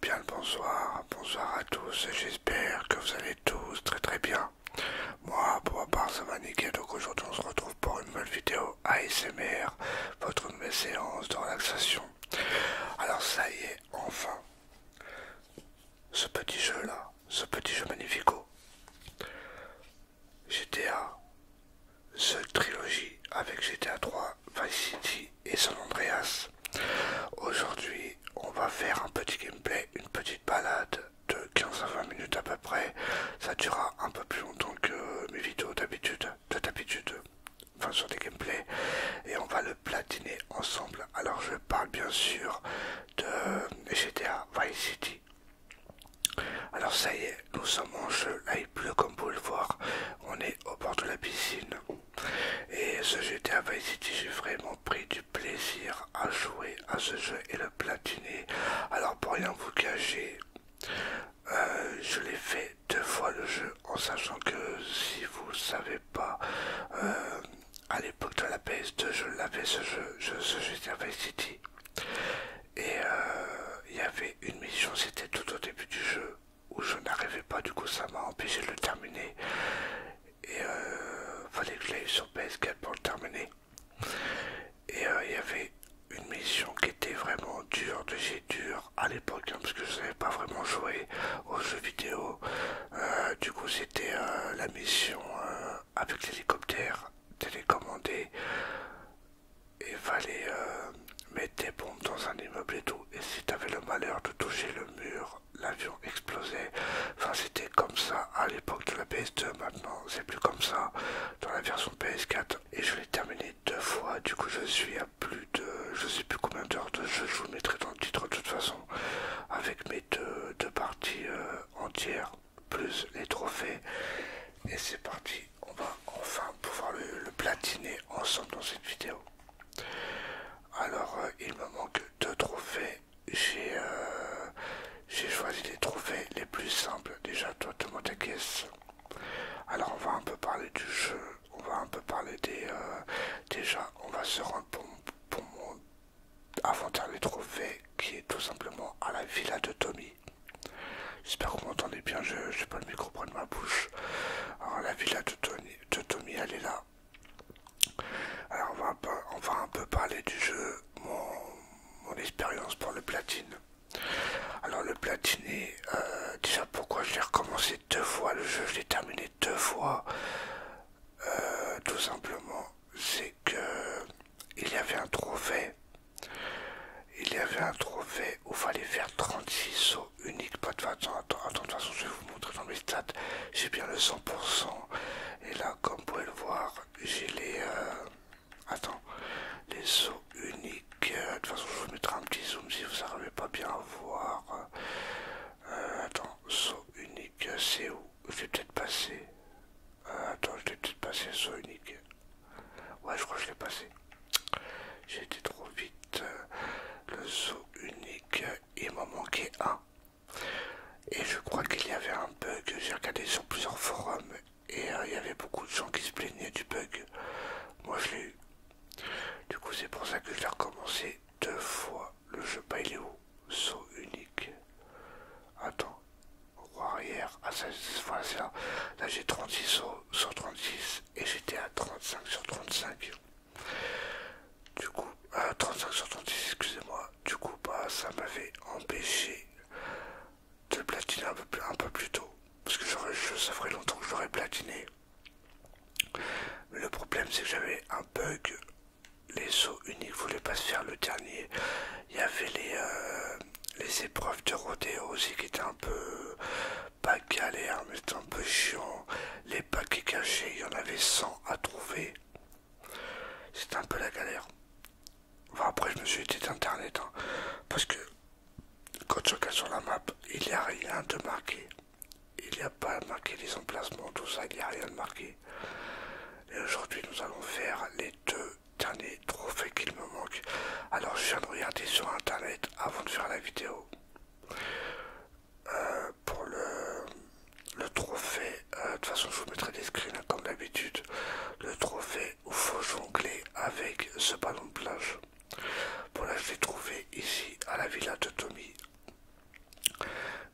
Bien le bonsoir, bonsoir à tous et j'espère que vous allez tous très très bien. Moi pour ma part ça va donc aujourd'hui on se retrouve pour une nouvelle vidéo ASMR, votre nouvelle séance de relaxation. Alors ça y est, enfin, ce petit jeu là, ce petit jeu magnifico. GTA, cette trilogie avec GTA 3, Vice City et San Andreas. Aujourd'hui, on va faire un petit gameplay, une petite balade de 15 à 20 minutes à peu près. Ça durera un peu plus longtemps que mes vidéos d'habitude, de d'habitude, enfin sur des gameplays. Et on va le platiner ensemble. Alors je parle bien sûr de GTA Vice City. Alors ça y est, nous sommes en jeu, là il pleut comme vous le voir, on est au bord de la piscine. Et ce GTA Vice City, j'ai vraiment pris du plaisir à jouer à ce jeu et le platiner. Alors pour rien vous cacher, euh, je l'ai fait deux fois le jeu en sachant que si vous savez pas euh, à l'époque de la PS2, je l'avais ce jeu, je, ce à Vice Et euh, il y avait une mission, c'était tout au début du jeu, où je n'arrivais pas, du coup ça m'a empêché de le terminer. Et euh, fallait que je l'aille sur PS4 pour le terminer. Et il y avait une mission qui était vraiment dure de chez dur à l'époque, hein, parce que je n'avais pas vraiment joué aux jeux vidéo. Euh, du coup, c'était euh, la mission euh, avec l'hélicoptère télécommandé. et fallait mettre des bombes dans un immeuble et tout. Et si t'avais le malheur de toucher le mur, l'avion explosait. Enfin, c'était comme ça à l'époque de la PS2. Maintenant, c'est plus comme ça dans la version PS4. Et je l'ai terminé deux fois. Du coup, je suis à plus de je sais plus combien d'heures de jeu, je vous mettrai dans le titre de toute façon, avec mes deux, parties euh, entières, plus les trophées. Et c'est parti, on va enfin pouvoir le, platiner ensemble dans cette vidéo. Alors euh, il me manque deux trophées. Euh, j'ai choisi les trophées les plus simples. Déjà toi te caisse. Alors on va un peu parler du jeu on va un peu parler des. Euh, déjà, on va se rendre pour, mon avant des trouver qui est tout simplement à la villa de Tommy. J'espère que vous m'entendez bien, je n'ai pas le micro près de ma bouche. Alors, la villa de, Tommy, elle est là. Alors, on va, un peu parler du jeu, mon, expérience pour le platine. Alors, le platine, est, euh, déjà pourquoi je l'ai recommencé deux fois le jeu, je l'ai terminé deux fois. Euh, tout simplement, c'est que il y avait un trophée. Il y avait un trophée où fallait faire 36 sauts uniques. Pas de attends, attends, attends, de toute façon, je vais vous montrer dans mes stats. J'ai bien le 100%. Et là, comme vous pouvez le voir, j'ai les. Euh, attends, les sauts uniques. Euh, de toute façon, je vous mettrai un petit zoom si vous n'arrivez pas bien à voir. Euh, attends, saut unique, c'est où Je vais peut-être passé. Euh, attends, je vais peut-être passé saut unique. Ouais, je crois que je l'ai passé. J'ai été trop vite. Le saut unique, il m'a manqué un. Et je crois qu'il y avait un bug. J'ai regardé sur plusieurs forums et euh, il y avait beaucoup de gens qui se plaignaient du bug. Moi, je l'ai eu. Du coup, c'est pour ça que je l'ai recommencé deux fois le jeu bah, où, saut unique. Attends, roi arrière, à 16 fois c'est là. j'ai 36 sauts sur 36 et j'étais à 35 sur 35. Du coup, à 35 sur 36, excusez-moi. Du coup, bah, ça m'avait empêché de platiner un peu, plus, un peu plus tôt. Parce que j'aurais, ça ferait longtemps que j'aurais platiné. Le problème c'est que j'avais un bug, les sauts uniques voulaient pas se faire le dernier. Il y avait les, euh, épreuves de rodéo aussi qui étaient un peu pas galère mais un peu chiant. Les paquets cachés, il y en avait 100 à trouver. C'était un peu la galère. bon après je me suis été d'internet hein. parce que quand je suis sur la map, il n'y a rien de marqué. Il n'y a pas marqué les emplacements, tout ça, il n'y a rien de marqué. Et aujourd'hui, nous allons faire les deux derniers trophées qu'il me manque. Alors, je viens de regarder sur internet avant de faire la vidéo. Euh, pour le, trophée, euh, de toute façon, je vous mettrai des screens hein, comme d'habitude. Le trophée où faut jongler avec ce ballon de plage. Bon, là, je l'ai trouvé ici à la villa de Tommy.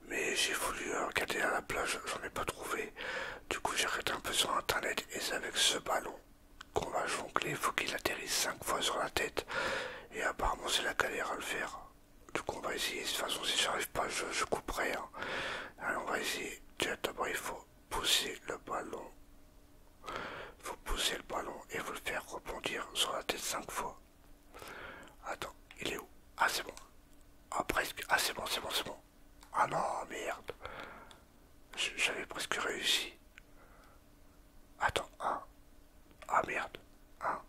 Mais j'ai voulu regarder à la plage, j'en ai pas trouvé. Du coup, j'ai arrêté un peu sur internet et c'est avec ce ballon qu'on va jongler. il faut qu'il atterrisse 5 fois sur la tête. Et apparemment, c'est la galère à le faire. Du coup, on va essayer. De toute façon, si j'arrive pas, je, couperai. Hein. Allez, on va essayer. D'abord, il faut pousser le ballon vous poussez le ballon et vous le faire rebondir sur la tête 5 fois. Attends, il est où Ah c'est bon. Ah presque. Ah c'est bon, c'est bon, c'est bon. Ah non, merde. J'avais presque réussi. Attends, 1. Ah merde. 1,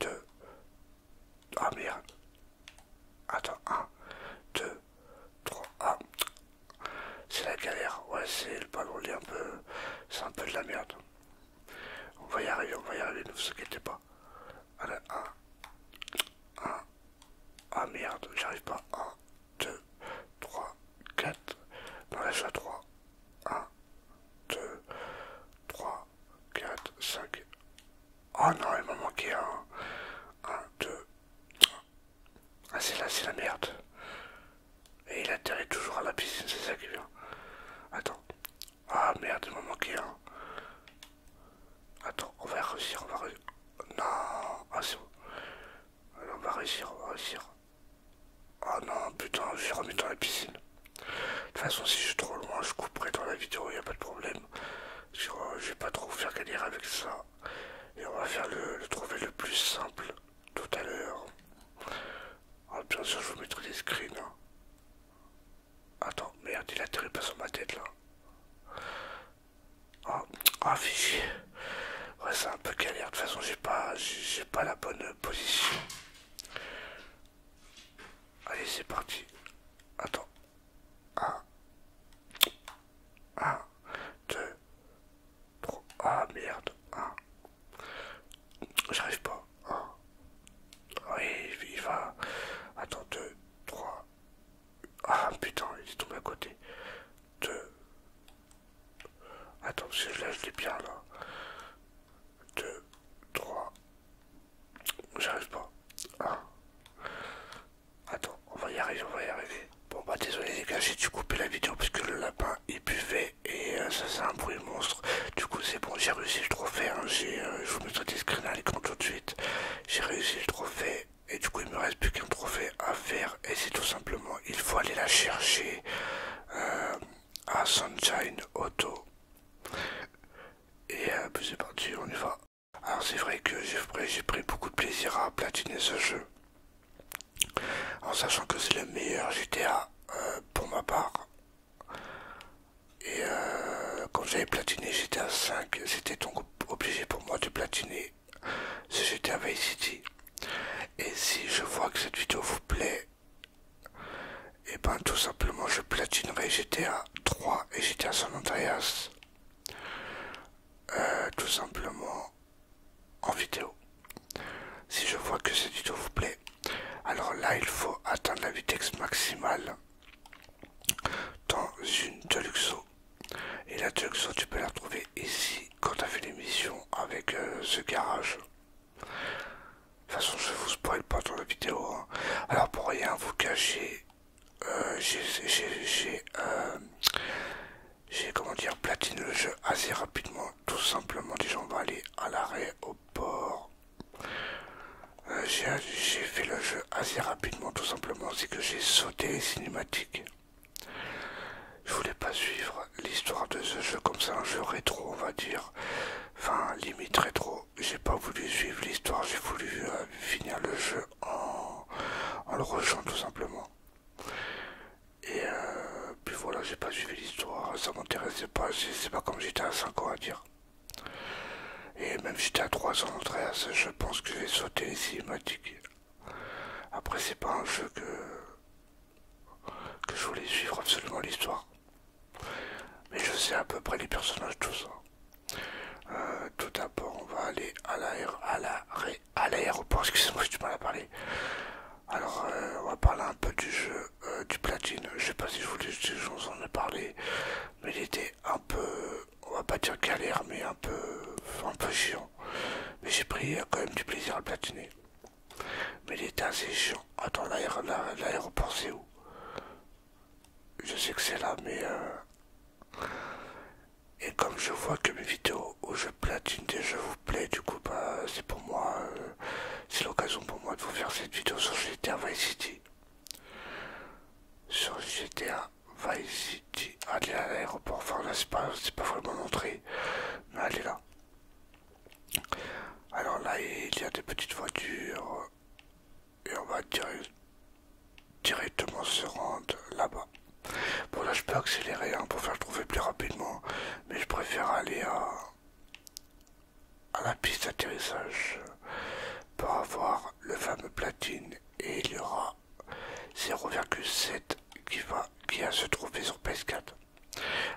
2. Ah merde. Attends, 1, 2, 3. Ah. C'est la galère. Ouais, c'est le ballon, il est un peu... C'est un peu de la merde. On va y arriver, on va y arriver, ne vous inquiétez pas. Allez, 1, 1, ah merde, j'arrive pas. 1, 2, 3, 4. Non, là je suis à 3. 1, 2, 3, 4, 5. Oh non, il m'a manqué un. 1, 2. Ah, c'est là, c'est la merde. Et il atterrit toujours à la piscine, c'est ça qui vient. Attends. Ah merde, il m'a manqué un. Hein. Attends, on va réussir, on va réussir. Non, ah c'est bon. Alors, on va réussir, on va réussir. Ah oh, non, putain, je vais remettre dans la piscine. De toute façon, si je suis trop loin, je couperai dans la vidéo, il a pas de problème. Je euh, vais pas trop faire gagner avec ça. Et on va faire le trouver le plus simple tout à l'heure. Ah, bien sûr, je vous mettrai des screens. Hein. Attends, merde, il atterrit pas sur ma tête là. Ah, ah Ouais, c'est un peu galère. De toute façon, j'ai pas, j'ai pas la bonne position. Allez, c'est parti. Attends. 1, 2, 3. Ah merde. 1. Ah. J'arrive pas. 1. Ah. Oui, il va. Attends, 2, 3. Ah putain, il est tombé à côté. 2. Attends, si je là je l'ai bien là. 2, 3. J'arrive pas. 1. Ah. Attends, on va y arriver, on va y arriver. Bon bah désolé les gars, j'ai dû couper la vidéo parce que le lapin il buvait et euh, ça c'est un bruit monstre. Du coup c'est bon, j'ai réussi le trophée, hein. j'ai, euh, je vous mettrai des screens à l'écran tout de suite. J'ai réussi le trophée et du coup il me reste plus qu'un trophée à faire et c'est tout simplement, il faut aller la chercher euh, à Sunshine Auto. Et c'est parti, on y va. Alors c'est vrai que j'ai pris beaucoup de plaisir à platiner ce jeu en sachant que c'est le meilleur GTA euh, pour ma part. Et euh, quand j'avais platiné GTA 5, c'était donc obligé pour moi de platiner ce GTA V City. Et si je vois que cette vidéo vous plaît, et eh ben tout simplement je platinerai GTA 3 et GTA San Andreas. Euh, tout simplement en vidéo. Si je vois que cette vidéo vous plaît, alors là il faut atteindre la vitesse maximale dans une Deluxo. Et la Deluxo tu peux la retrouver ici quand tu as fait l'émission avec ce euh, garage. De toute façon je vous spoil pas dans la vidéo. Hein. Alors pour rien vous cacher, euh, j'ai euh, j'ai comment dire platine le jeu assez rapidement tout simplement déjà on va aller à l'arrêt au port euh, j'ai fait le jeu assez rapidement tout simplement c'est que j'ai sauté les cinématiques je voulais pas suivre l'histoire de ce jeu comme ça un jeu rétro on va dire enfin limite rétro j'ai pas voulu suivre l'histoire j'ai voulu euh, finir le jeu en, en le rejouant tout simplement et euh, puis voilà, j'ai pas suivi l'histoire, ça m'intéressait pas, c'est pas comme j'étais à 5 ans à dire. Et même j'étais à 3 ans, 13, je pense que j'ai sauté les cinématiques. Après, c'est pas un jeu que, que je voulais suivre absolument l'histoire. Mais je sais à peu près les personnages, tout ça. Euh, tout d'abord, on va aller à la, à la à l'aéroport. Excusez-moi, j'ai du mal à parler. Alors, euh, on va parler un peu du jeu euh, du platine. Je sais pas si je voulais vous en parler, mais il était un peu, on va pas dire galère, mais un peu, un peu chiant. Mais j'ai pris quand même du plaisir à platiner. Mais il était assez chiant. Attends, l'aéroport, c'est où Je sais que c'est là, mais. Euh, et comme je vois que mes vidéos je oh, je platine des jeux vous plaît, du coup bah c'est pour moi, euh, c'est l'occasion pour moi de vous faire cette vidéo sur GTA Vice City. Sur GTA Vice City, allez à l'aéroport, enfin là c'est pas, pas vraiment l'entrée, mais allez là. Alors là il y a des petites voitures et on va directement se rendre là-bas. Bon là je peux accélérer hein, pour faire le trouver plus rapidement, mais je préfère aller à, la piste d'atterrissage pour avoir le fameux platine et il y aura 0,7 qui va se trouver sur PS4.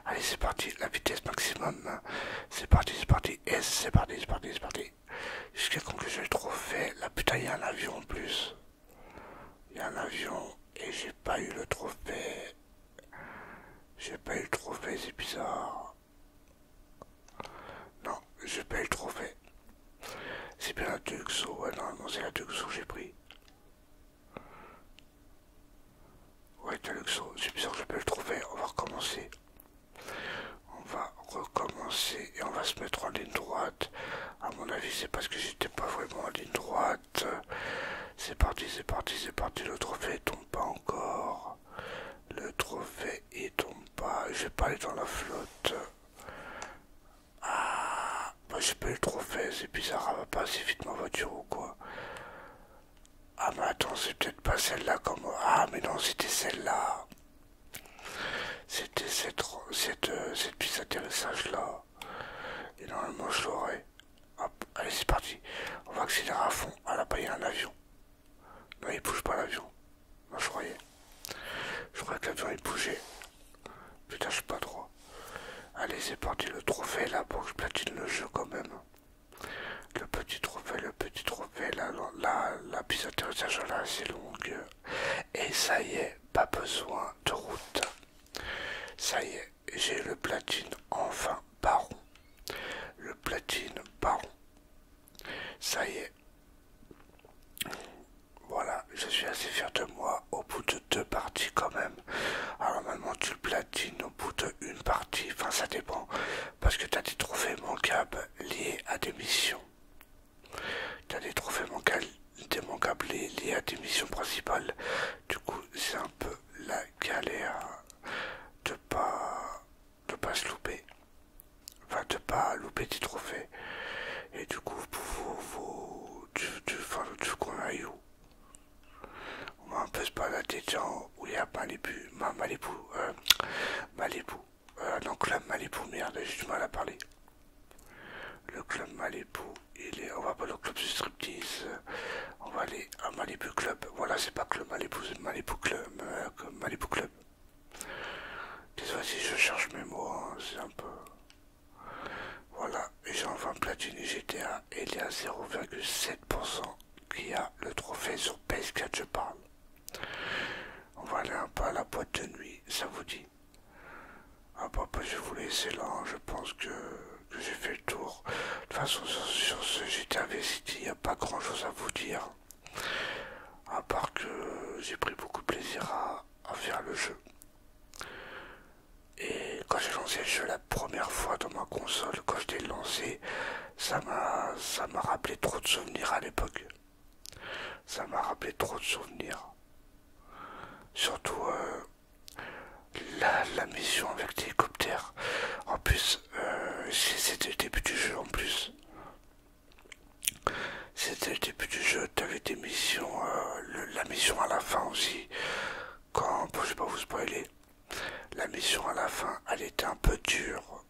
Allez c'est parti, la vitesse maximum, c'est parti, c'est parti, S, c'est parti, c'est parti, c'est parti. Jusqu'à quand que je le trouve fait, putain il un avion en plus. Il y a un avion et j'ai pas eu le trophée. J'ai pas eu le trophée, c'est bizarre. Non, j'ai pas eu le trophée. C'est bien la Duxo, ouais, non c'est la Duxo, que j'ai pris. Ouais, Taluxo, c'est bizarre que j'ai pas eu le trophée, on va recommencer. On va recommencer et on va se mettre en ligne droite. À mon avis, c'est parce que j'étais pas vraiment en ligne droite. Euh, c'est parti, c'est parti, c'est parti. Le trophée tombe pas encore. Le trophée il tombe pas. je vais pas aller dans la flotte. Ah, moi j'ai pas le trophée. C'est bizarre. va pas assez vite ma voiture ou quoi. Ah, mais attends, c'est peut-être pas celle-là comme. Ah, mais non, c'était celle-là. C'était cette, cette, euh, cette piste d'atterrissage là. Et normalement, je l'aurais Hop, allez, c'est parti. On va accélérer à fond. Ah là-bas, il y a un avion. Non, il bouge pas l'avion. Moi, je croyais. Je croyais que l'avion, il bougeait. Putain, je suis pas droit. Allez, c'est parti. Le trophée là pour que je platine le jeu quand même. Le petit trophée, le petit trophée. Là, là, la piste d'atterrissage là, c'est longue. Et ça y est, pas besoin de route. Ça y est, j'ai le platine enfin baron. Le platine baron. Ça y est. Voilà, je suis assez fier de moi au bout de deux parties quand même. Alors maintenant tu le platines au bout de une partie, enfin ça dépend, parce que tu as des trophées manquables lié à des missions. Tu as des trophées manquables démanquable les, lié à des missions principales. Du coup, c'est un peu la galère de pas de pas se louper. Enfin, de pas louper des trophées. Et du coup, pour vous vous du, du, a eu, on va un peu se balader dans où il y a Malibu, ma, Malibu, euh, Malibu, euh, non, Malibu, merde, j'ai du mal à parler. Le club Malibu, il est, on va pas le club du striptease, on va aller à Malibu Club. Voilà, c'est pas club Malibu, c'est Malibu Club, euh, Malibu Club. Désolé si je cherche mes mots, hein, c'est un peu. Voilà, et j'ai enfin platine GTA et il est à 0,7% qui a le trophée sur PS4, je parle. On va aller un peu à la boîte de nuit, ça vous dit ah bah, bah je vais vous laisser là, hein. je pense que, j'ai fait le tour. De toute façon, sur, ce j'étais investi, il n'y a pas grand chose à vous dire. À part que j'ai pris beaucoup de plaisir à, à faire le jeu. Et quand j'ai lancé le jeu la première fois dans ma console, quand je l'ai lancé, ça m'a rappelé trop de souvenirs à l'époque. Ça m'a rappelé trop de souvenirs. Surtout euh, la, la mission avec l'hélicoptère. En plus, euh, c'était le début du jeu en plus. C'était le début du jeu, t'avais des missions, euh, la mission à la fin aussi. Quand, bon, je vais pas vous spoiler, la mission à la fin, elle était un peu dure.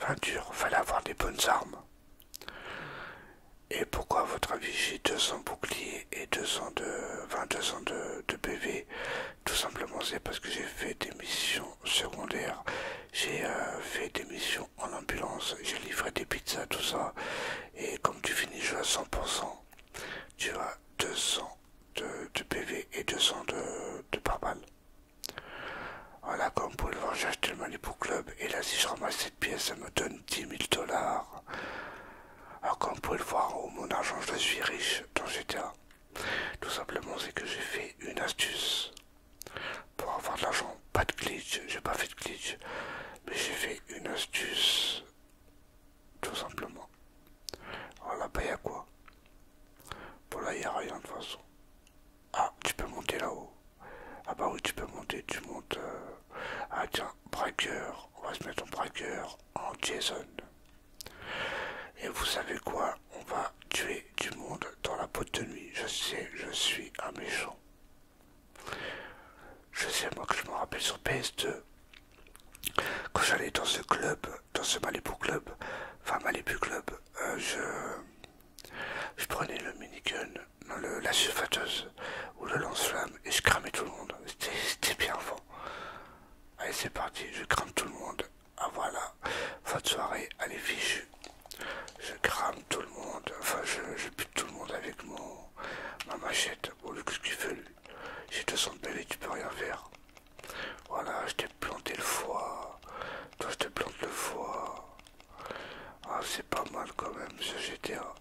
Enfin dure, fallait avoir des bonnes armes. Et pourquoi à votre avis j'ai 200 boucliers et 200 de, 200 de, PV Tout simplement c'est parce que j'ai fait des missions secondaires, j'ai euh, fait des missions en ambulance, j'ai livré des pizzas, tout ça. Et comme tu finis le à 100%, tu as 200 de, PV et 200 de, de Voilà, comme vous le voir, j'ai acheté le Club et là si je ramasse pièce, ça me donne 10 000 dollars. Alors comme vous pouvez le voir, oh, mon argent, je suis riche dans GTA. Tout simplement, c'est que j'ai fait une astuce. Pour avoir de l'argent, pas de glitch, j'ai pas fait de glitch, mais j'ai fait une astuce. Tout simplement. Alors là-bas, il y a quoi Pour là, il a rien de façon. Ah, tu peux monter là-haut. Ah bah oui, tu peux monter, tu montes... Euh, ah tiens, braqueur. On va se mettre en braqueur en Jason. Et vous savez quoi On va tuer du monde dans la peau de nuit. Je sais, je suis un méchant. Je sais, moi, que je me rappelle sur PS2. Quand j'allais dans ce club, dans ce Malibu Club, enfin Malibu Club, euh, je... Je prenais le minigun, le, la surfateuse, ou le lance-flamme et je cramais tout le monde. C'était bien avant. Allez, c'est parti, je crame tout le monde. Ah voilà, fin de soirée, allez, fichu. Je crame tout le monde, enfin, je, je bute tout le monde avec mon, ma machette. au lieu que ce qu'il fait lui J'ai 200 balles et tu peux rien faire. Voilà, je t'ai planté le foie. Toi, je te plante le foie. Ah, c'est pas mal quand même ce GTA.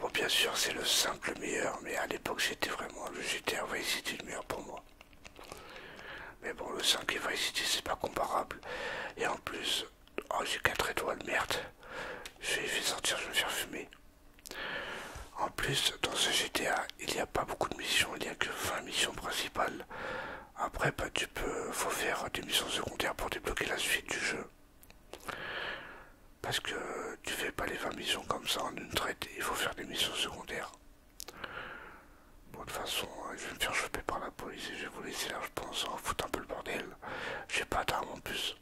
Bon, bien sûr, c'est le simple meilleur, mais à l'époque, j'étais vraiment le GTA Vice City le meilleur pour moi. Mais bon, le 5 et Vice City, c'est pas comparable. Et en plus, oh, j'ai 4 étoiles, merde. Je vais sortir, je vais me faire fumer. En plus, dans ce GTA, il n'y a pas beaucoup de missions, il n'y a que 20 missions principales. Après, bah, tu peux, faut faire des missions secondaires pour débloquer la suite du jeu. Parce que tu fais pas les 20 missions comme ça en une traite, il faut faire des missions secondaires. Bon, de toute façon, hein, je vais me faire choper par la police et je vais vous laisser là, je pense, en hein, foutre un peu le bordel. J'ai pas d'armes en plus.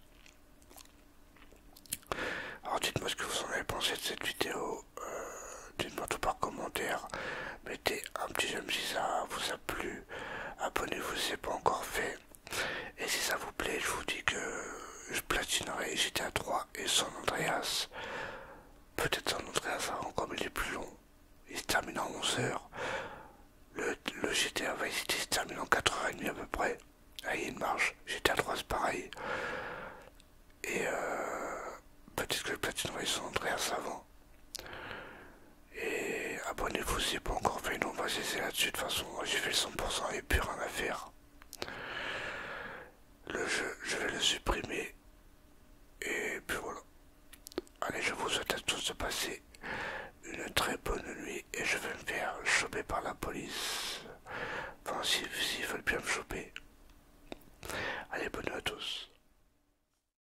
Alors dites-moi ce que vous en avez pensé de cette vidéo. Euh, dites-moi tout par commentaire. Mettez un petit j'aime si ça vous a plu. Abonnez-vous si pas encore fait. Et si ça vous plaît, je vous dis que je platinerai GTA 3 et San Andreas. Peut-être San Andreas avant, comme il est plus long. Il se termine en 11h. Le, le GTA Vice se termine en 4h30 à peu près. allez ah, il marche. GTA 3 c'est pareil. Et euh, peut-être que je platinerai San Andreas avant. Et abonnez-vous si n'avez pas encore fait. Non, on va cesser là-dessus. De toute façon, j'ai fait le 100% et plus rien à faire. Le jeu, je vais le supprimer. Et puis voilà. Allez, je vous souhaite à tous de passer une très bonne nuit. Et je vais me faire choper par la police. Enfin, s'ils si, veulent bien me choper. Allez, bonne nuit à tous.